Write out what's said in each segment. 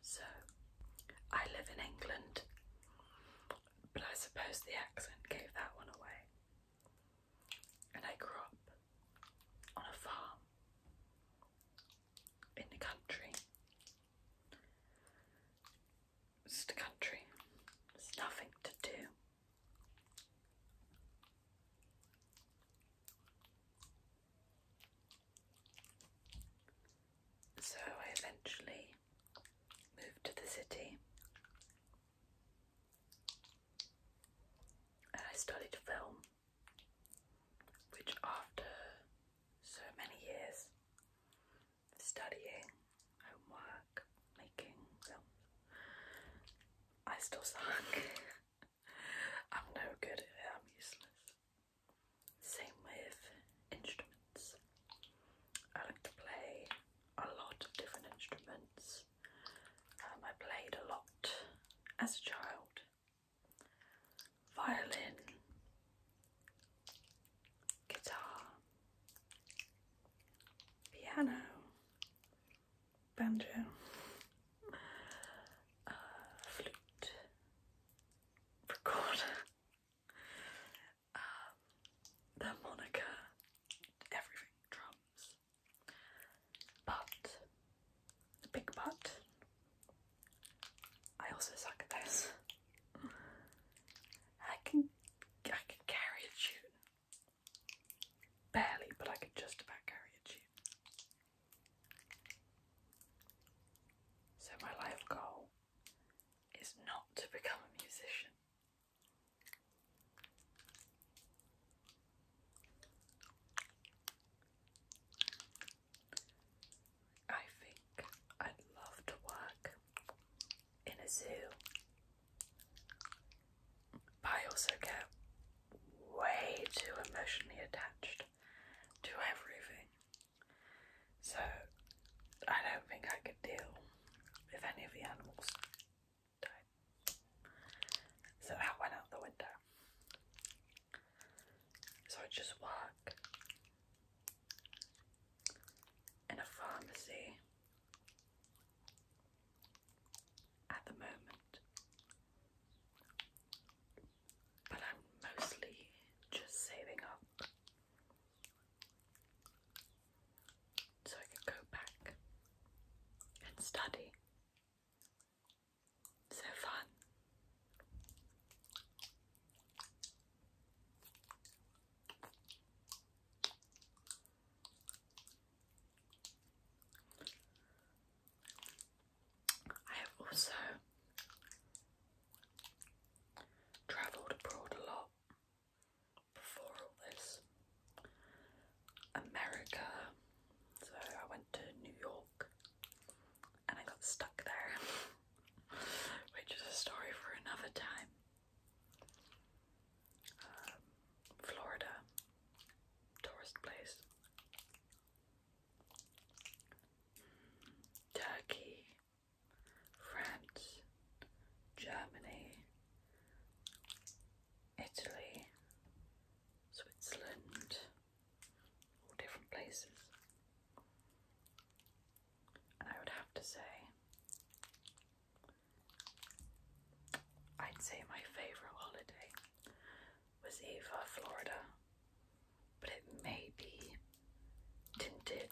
So, I live in England, but I suppose the accent gave that one away. And I grew up on a farm in the country. It's the country, there's nothing to do. So I eventually moved to the city and I studied film, which after so many years studying, homework, making films, I still suck. I'm no good at it, same with instruments. I like to play a lot of different instruments. Um, I played a lot as a child. Violin, guitar, piano, banjo, uh, flute, recorder. Um, the moniker, everything, drums. But, the big but, I also suck at this. I can, I can carry a tune. Barely, but I can just about carry a tune. So, my life goal is not to become a musician. I think I'd love to work in a zoo, but I also get way too emotionally attached to everything. So I don't think I could deal if any of the animals So that went out the window. So I just work in a pharmacy at the moment but I'm mostly just saving up so I can go back and study. So fun. I have also travelled abroad a lot before all this. America, so I went to New York and I got stuck there, which is a story for another time. Um, Florida, tourist place. Turkey, France, Germany, Italy, Switzerland, all different places. And I would have to say, I'd say my favourite holiday was Eva, Florida, but it may be tinted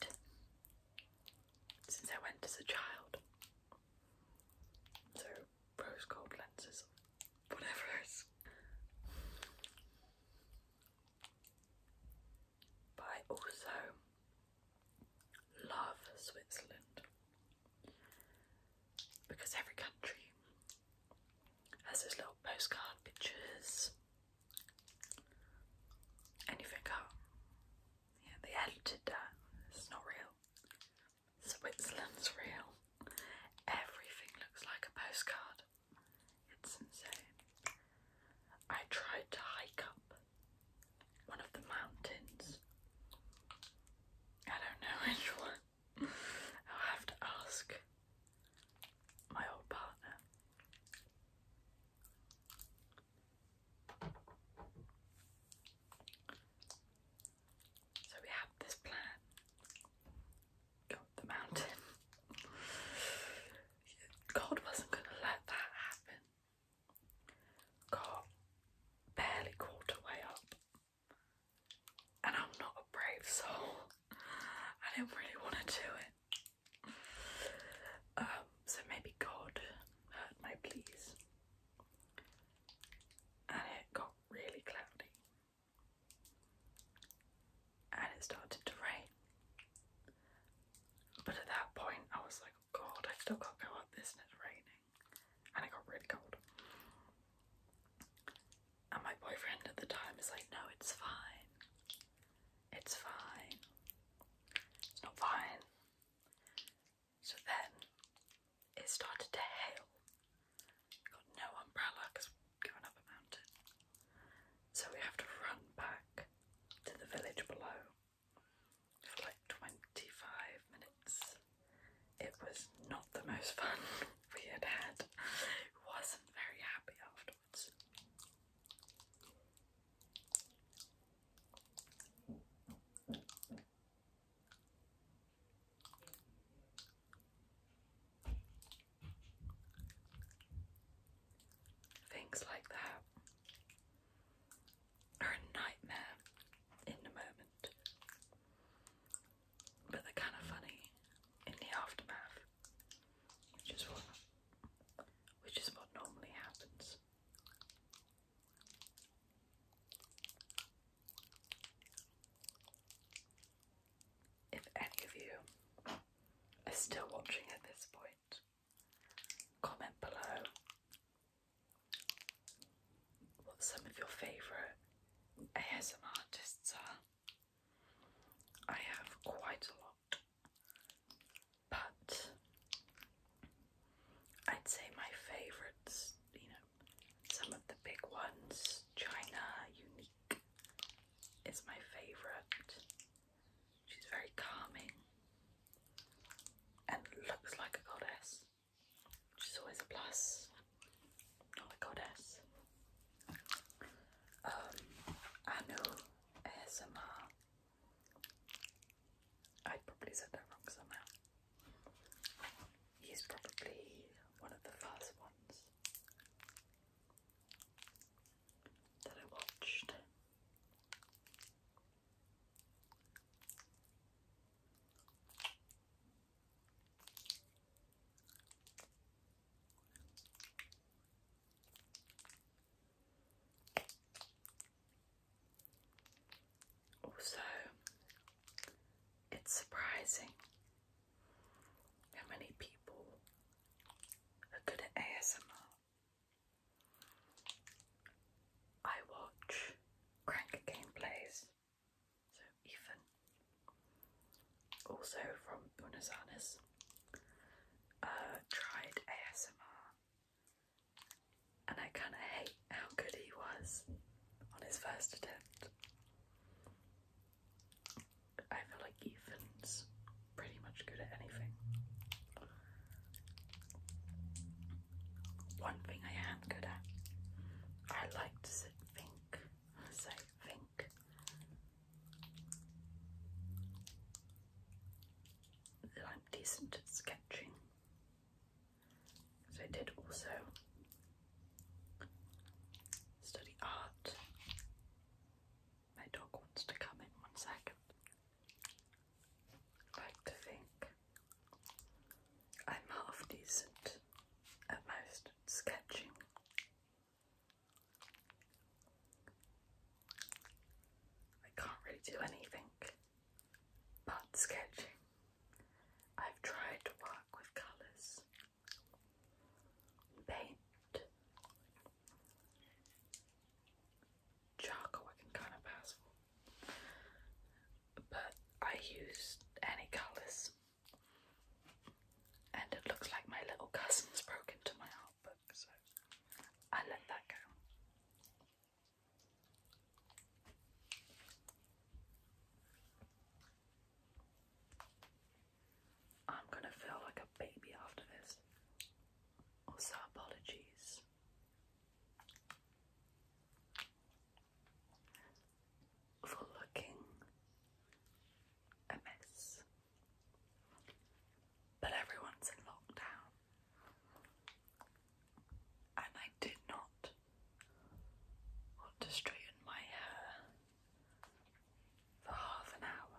since I went as a child. So, rose gold lenses, whatever else. But I also love Switzerland because every country has those little postcard pictures. And you oh, yeah, they edited that. It's not real. Switzerland's real. Everything looks like a postcard. It's insane. I tried to hike up one of the mountains. I don't know which one. I'll have to ask my old partner. So we have this plan. Go up the mountain. God wasn't going to let that happen. God barely quarter way up and I'm not a brave soul. I didn't really want to do it. Um, so maybe God heard my pleas. And it got really cloudy. And it started to rain. But at that point, I was like, oh God, I still can't go up this and it's raining. And it got really cold. And my boyfriend at the time is like, no, it's fine. It's fine. It's not fine. So then it started to hail. Got no umbrella because going up a mountain. So we have to run back to the village below for like 25 minutes. It was not the most fun we had had. Wasn't very happy afterwards. Things like that are a nightmare in the moment but they're kind of funny in the aftermath, which is what, which is what normally happens. If any of you are still watching at this point, comment below what some of your favourite ASM artists are. I have quite a lot, but I'd say my favourites, you know, some of the big ones, China Unique is my favourite. She's very calming and looks like a goddess which is always a plus. Not a goddess. Um, Anu ASMR. probably said that wrong somehow. He's probably one of the first ones that I watched. Also, it's surprising how many people are good at ASMR. I watch crank gameplays so Ethan, also from Buenos Aires, uh, tried ASMR, and I kind of hate how good he was on his first attempt. I feel like Ethan's pretty much good at anything. One thing I am good at, I like to sit think. So think. I'm decent at sketching. So I did also study art. My dog wants to come in one second. like to think I'm half decent at most sketching. I can't really do anything but sketching. I've tried to work with colours, paint, charcoal I can kind of pass but I used any colours and it looks like my little cousin's broke into my art book, so I let that go. I'm gonna feel like a baby after this. Also, apologies for looking a mess. But everyone's in lockdown, and I did not want to straighten my hair for half an hour,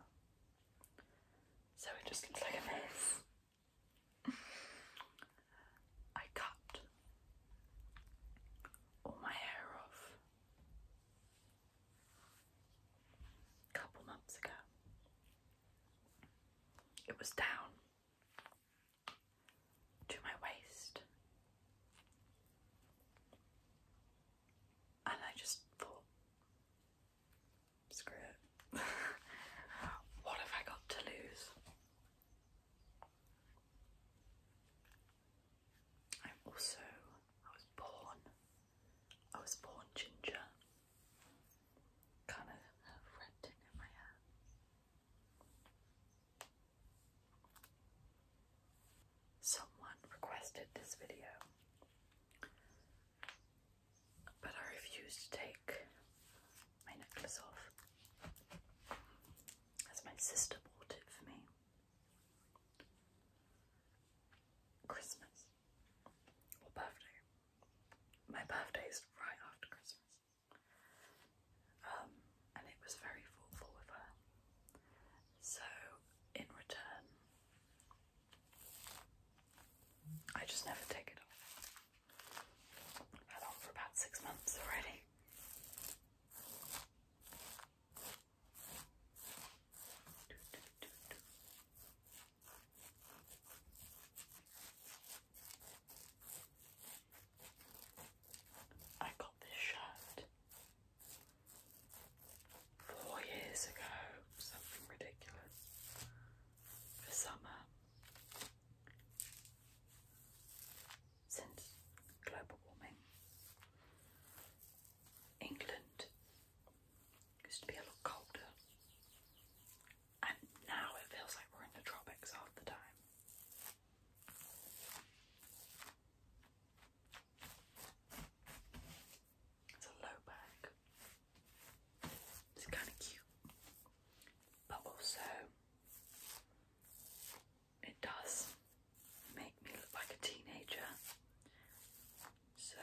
so it just looks like a mess. I cut all my hair off a couple months ago. It was down to my waist, and I just thought, screw it. what have I got to lose? I'm also, I was born, I was born ginger. Kind of have in my hair. Someone requested this video, but I refuse to take my necklace off. As my sister bought it for me. Christmas. Or birthday. My birthday is right after Christmas. Um, and it was very thoughtful of her. So, in return, I just never take it off had on for about six months already. I got this shirt four years ago, something ridiculous, for summer since global warming. England used to be a lot colder, and now it feels like we're in the tropics half the time. It's a low bag. It's kind of cute, but also it does make me look like a teenager. So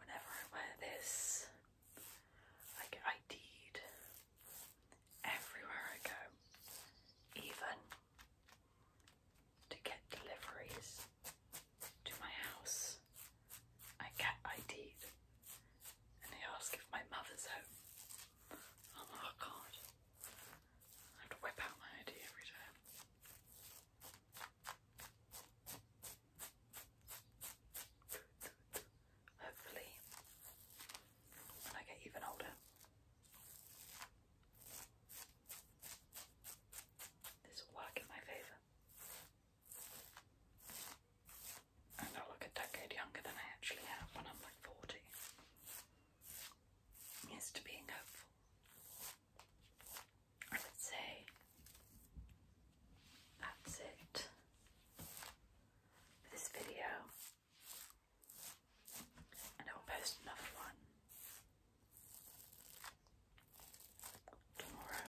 whenever I wear this, I get ID'd everywhere I go, even to get deliveries to my house. I get ID'd and they ask if my mother's home. Oh my god. I have whip out my ID every time. Hopefully, when I get even older, this will work in my favour. And I look a decade younger than I actually am when I'm like 40. Yes, being hopeful. I would say that's it for this video. And I will post another one tomorrow.